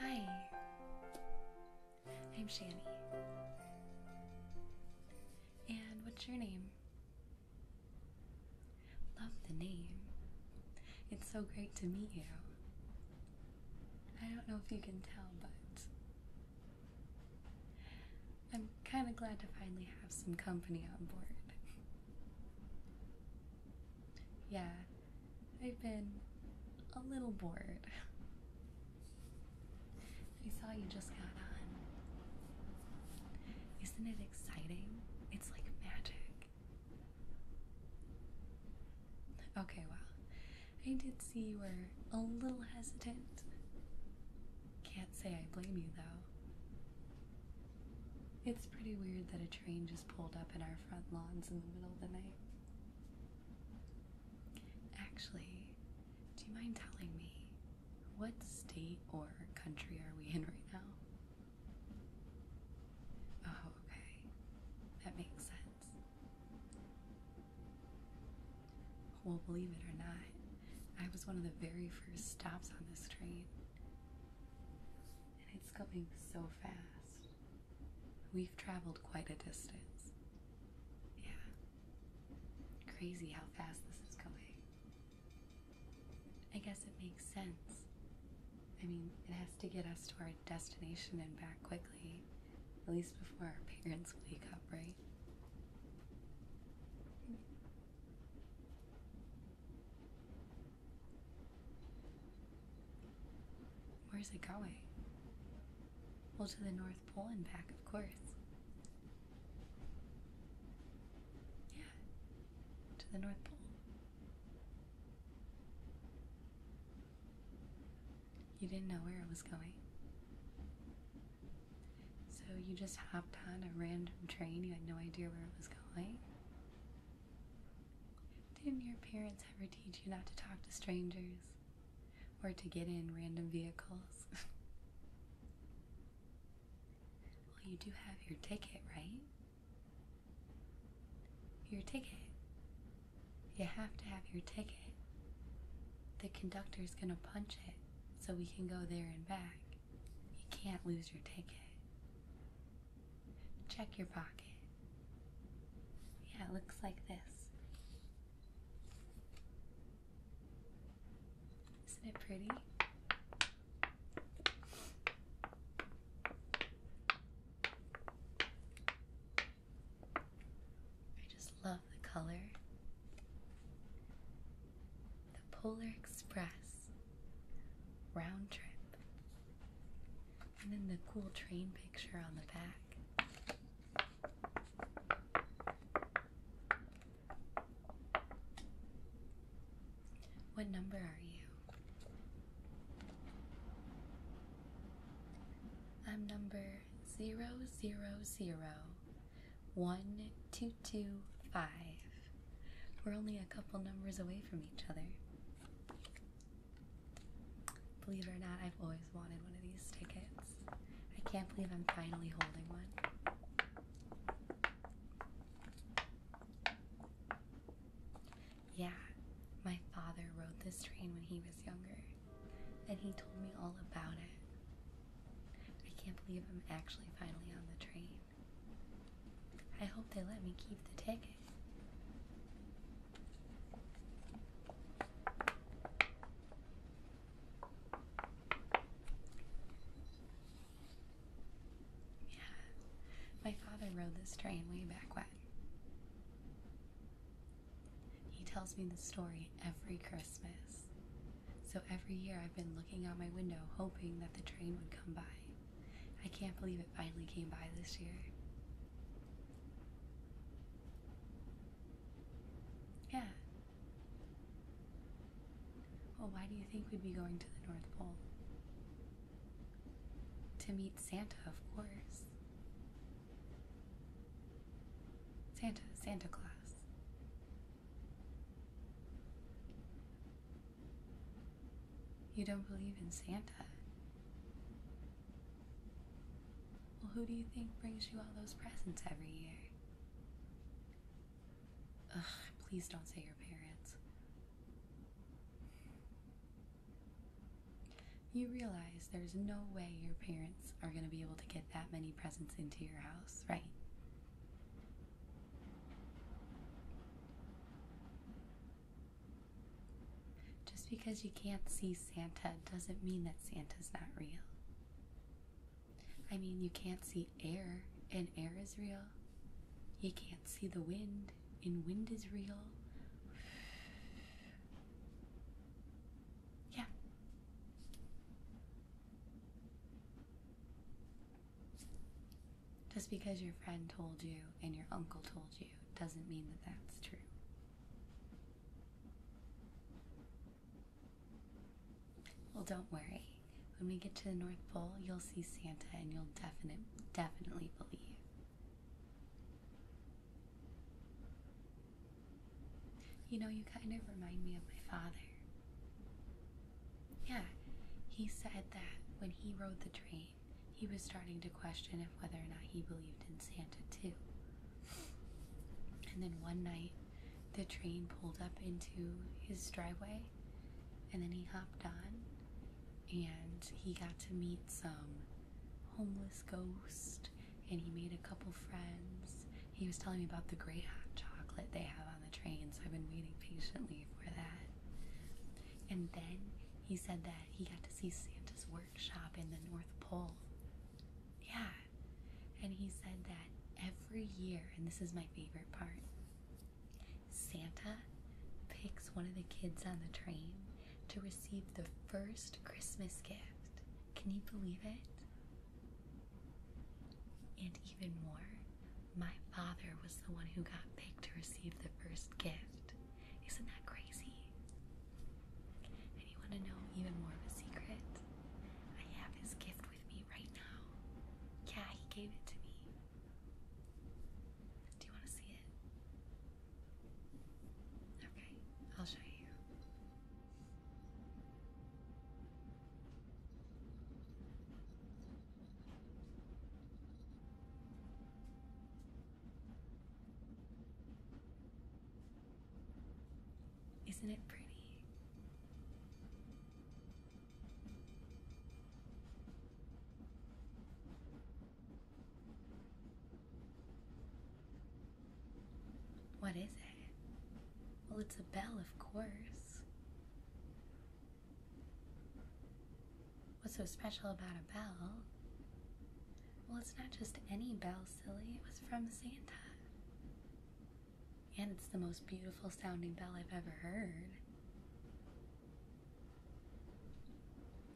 Hi, I'm Shani. And what's your name? Love the name. It's so great to meet you. I don't know if you can tell, but I'm kind of glad to finally have some company on board. Yeah, I've been a little bored. I saw you just got on. Isn't it exciting? It's like magic. Okay, well, I did see you were a little hesitant. Can't say I blame you, though. It's pretty weird that a train just pulled up in our front lawns in the middle of the night. Actually, do you mind telling me what state or country are we in right now? Oh, okay. That makes sense. Well, believe it or not, I was one of the very first stops on this train. And it's going so fast. We've traveled quite a distance. Yeah. Crazy how fast this is going. I guess it makes sense. I mean, it has to get us to our destination and back quickly, at least before our parents wake up, right? Where's it going? Well, to the North Pole and back, of course. Yeah, to the North Pole. You didn't know where it was going. So you just hopped on a random train, you had no idea where it was going? Didn't your parents ever teach you not to talk to strangers? Or to get in random vehicles? well, you do have your ticket, right? Your ticket. You have to have your ticket. The conductor's gonna punch it so we can go there and back. You can't lose your ticket. Check your pocket. Yeah, it looks like this. Isn't it pretty? I just love the color. The Polar Express round trip. And then the cool train picture on the back. What number are you? I'm number zero zero zero one two two five. We're only a couple numbers away from each other. Believe it or not, I've always wanted one of these tickets. I can't believe I'm finally holding one. Yeah, my father rode this train when he was younger and he told me all about it. I can't believe I'm actually finally on the train. I hope they let me keep the ticket. Yeah, my father rode this train way back when. He tells me the story every Christmas. So every year I've been looking out my window hoping that the train would come by. I can't believe it finally came by this year. Yeah. Well, why do you think we'd be going to the North Pole? To meet Santa, of course. Santa, Santa Claus. You don't believe in Santa? Well, who do you think brings you all those presents every year? Ugh, please don't say your parents. You realize there's no way your parents are going to be able to get that many presents into your house, right? Just because you can't see Santa doesn't mean that Santa's not real. I mean, you can't see air, and air is real. You can't see the wind, and wind is real. Yeah. Just because your friend told you and your uncle told you doesn't mean that that's true. Well, don't worry. When we get to the North Pole, you'll see Santa and you'll definite, definitely believe. You know, you kind of remind me of my father. Yeah, he said that when he rode the train, he was starting to question if whether or not he believed in Santa too. And then one night, the train pulled up into his driveway, and then he hopped on and he got to meet some homeless ghost and he made a couple friends. He was telling me about the great hot chocolate they have on the train, so I've been waiting patiently for that. And then he said that he got to see Santa's workshop in the North Pole. Yeah. And he said that every year, and this is my favorite part, Santa picks one of the kids on the train to receive the first Christmas gift. Can you believe it? And even more, my father was the one who got picked to receive the first gift. Isn't that crazy? And you want to know even more of a secret? I have his gift with me right now. Yeah, he gave it to me. Do you want to see it? Okay, I'll show you. Isn't it pretty? What is it? Well, it's a bell, of course. What's so special about a bell? Well, it's not just any bell, silly. It was from Santa. And it's the most beautiful sounding bell I've ever heard.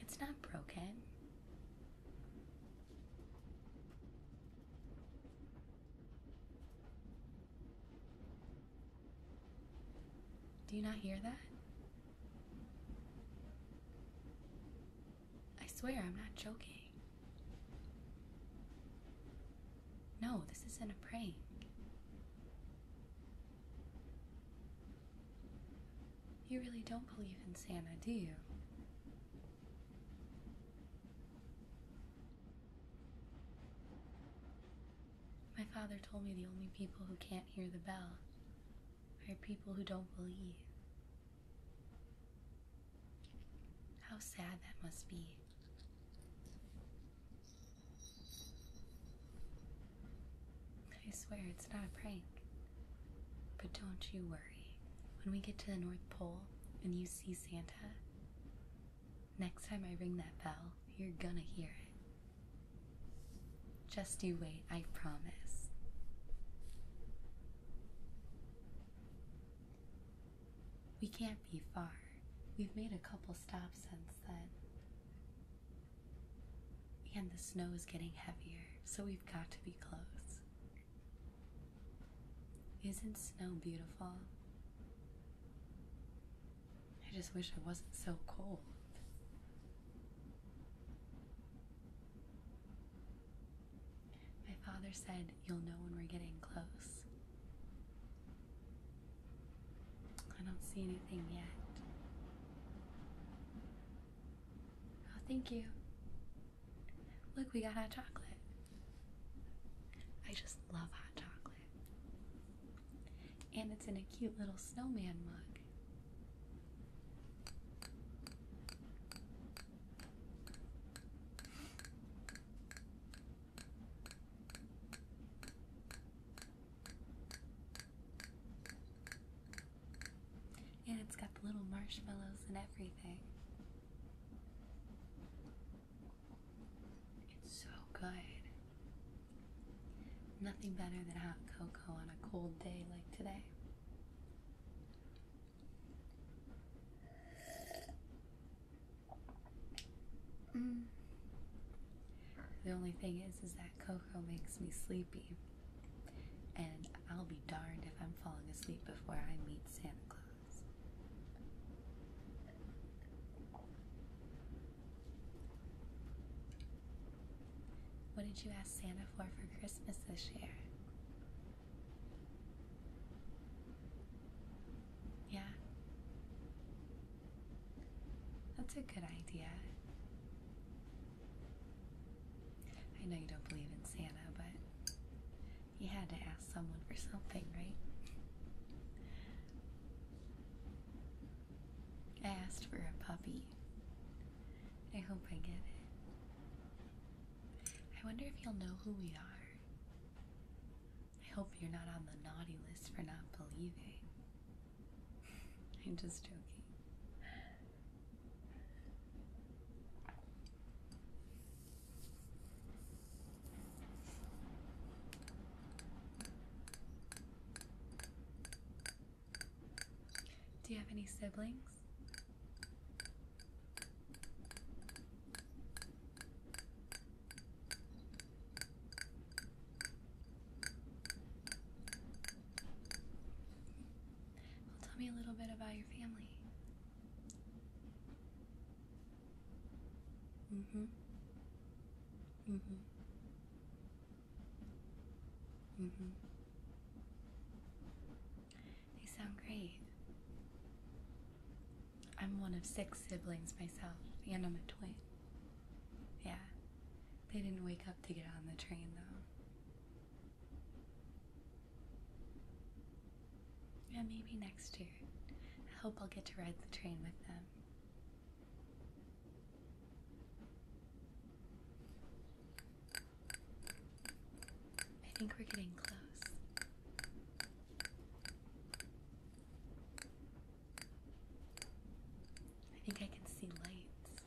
It's not broken. Do you not hear that? I swear I'm not joking. No, this isn't a prank. You really don't believe in Santa, do you? My father told me the only people who can't hear the bell are people who don't believe. How sad that must be. I swear it's not a prank. But don't you worry. When we get to the North Pole and you see Santa, next time I ring that bell, you're gonna hear it. Just you wait, I promise. We can't be far. We've made a couple stops since then. And the snow is getting heavier, so we've got to be close. Isn't snow beautiful? I just wish I wasn't so cold. My father said, You'll know when we're getting close. I don't see anything yet. Oh, thank you. Look, we got hot chocolate. I just love hot chocolate. And it's in a cute little snowman mug. And it's got the little marshmallows and everything. It's so good. Nothing better than hot cocoa on a cold day like today. Mm. The only thing is, is that cocoa makes me sleepy, and I'll be darned if I'm falling asleep before I meet Santa Claus. What did you ask Santa for for Christmas this year? Yeah. That's a good idea. I know you don't believe in Santa, but you had to ask someone for something, right? I asked for a puppy. I hope I get it. I wonder if you'll know who we are. I hope you're not on the naughty list for not believing. I'm just joking. Do you have any siblings? Well, tell me a little bit about your family. Mm-hmm. Mm-hmm. Mm-hmm. They sound great. I'm one of six siblings myself, and I'm a twin. Yeah. They didn't wake up to get on the train, though. Yeah, maybe next year. I hope I'll get to ride the train with them. I think we're getting close. I think I can see lights.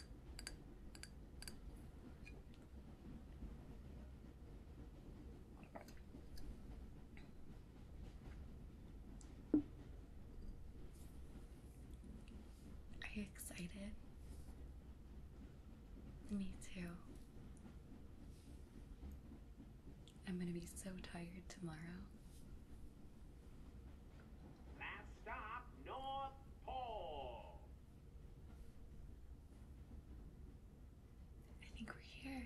Are you excited? Me too. I'm gonna be so tired tomorrow. Last stop, North Pole. I think we're here.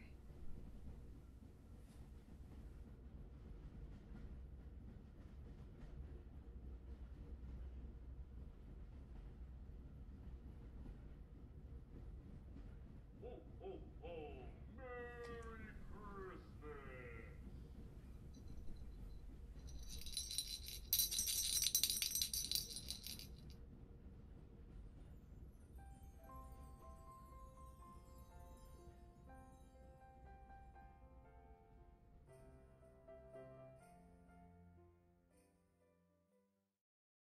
Ho, ho, ho! Merry Christmas!